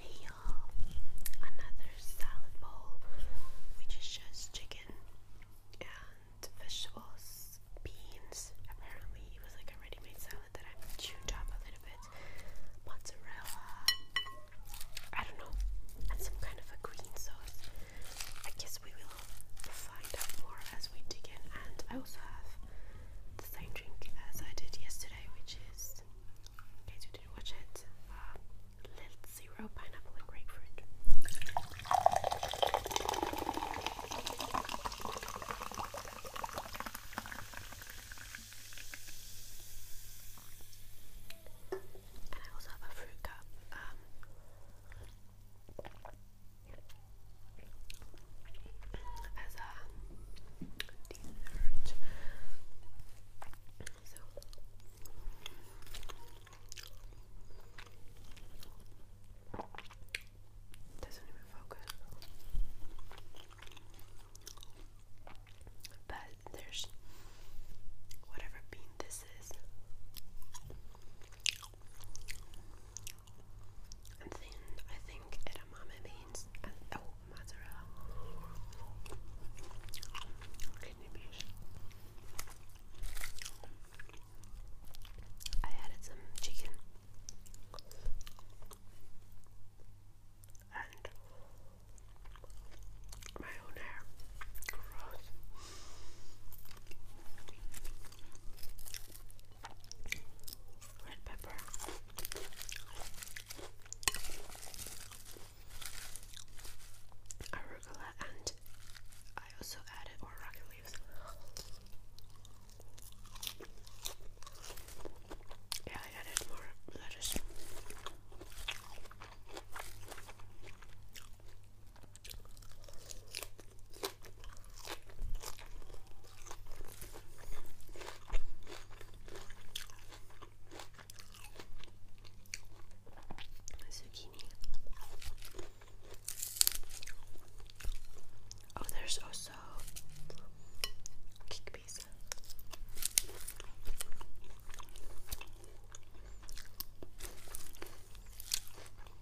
Hey another salad bowl which is just chicken and vegetables, beans. Apparently, it was like a ready made salad that I chewed up a little bit. Mozzarella, I don't know, and some kind of a green sauce. I guess we will find out more as we dig in. And I also have the same drink as I did yesterday, which is in case you didn't watch it, uh, Lil Zero Pineapple and Grapefruit. And I also have a fruit cup. Um, as a uh, t-shirt doesn't even focus but there's whatever bean this is and then I think edamame beans and uh, oh mozzarella I added some chicken and my own hair. Gross red pepper. Arugula and I also added oraca leaves. Yeah, I added more lettuce. Zucchini. Oh, there's also kick pizza.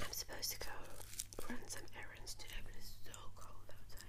I'm supposed to go run some errands today, but it's so cold outside.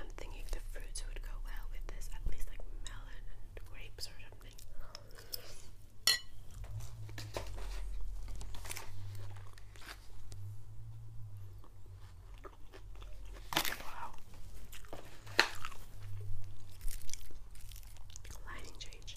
I'm thinking the fruits would go well with this, at least like melon and grapes or something. Wow. Lighting change.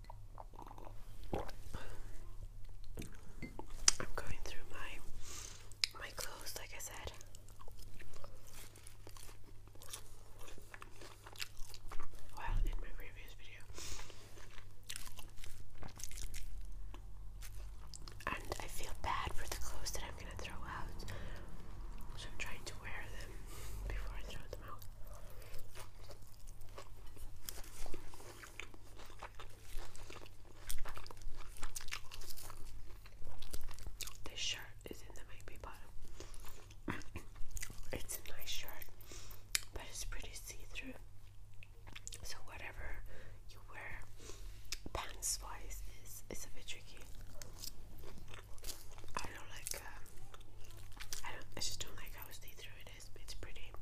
I'm going through my my clothes like I said. Well, in my previous video. And I feel bad for the clothes that I'm gonna throw out. So I'm trying to wear them before I throw them out. This shirt is in the maybe bottom. it's a nice shirt, but it's pretty see-through. So whatever you wear pants wise is it's a bit tricky. I don't like um, I don't I just don't like how see through it is. It's pretty, but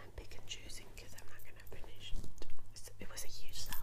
I'm pick and choosing because I'm not going to finish it. It was a huge salad.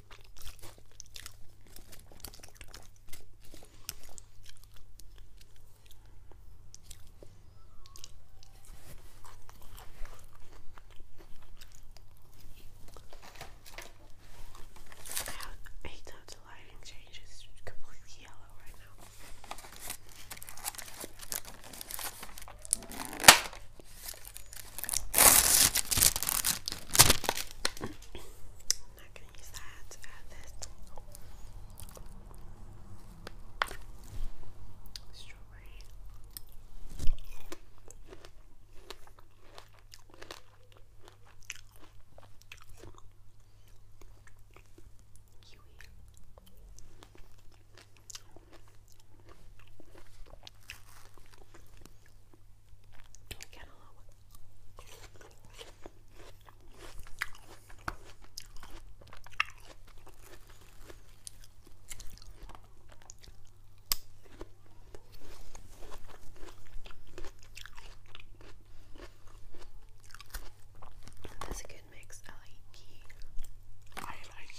I hate that the lighting changes completely yellow right now. I'm not gonna use that add this. Strawberry. Kiwi. Cantaloupe. That's a good mix. I like I like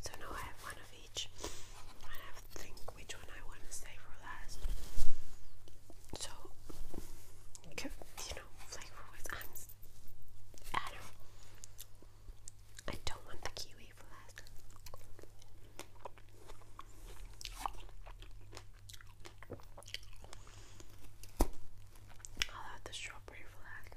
So now I have one of each. I have to think which one I want to save for last. So, you know, flavor I don't want the kiwi for last. I'll have the strawberry flag.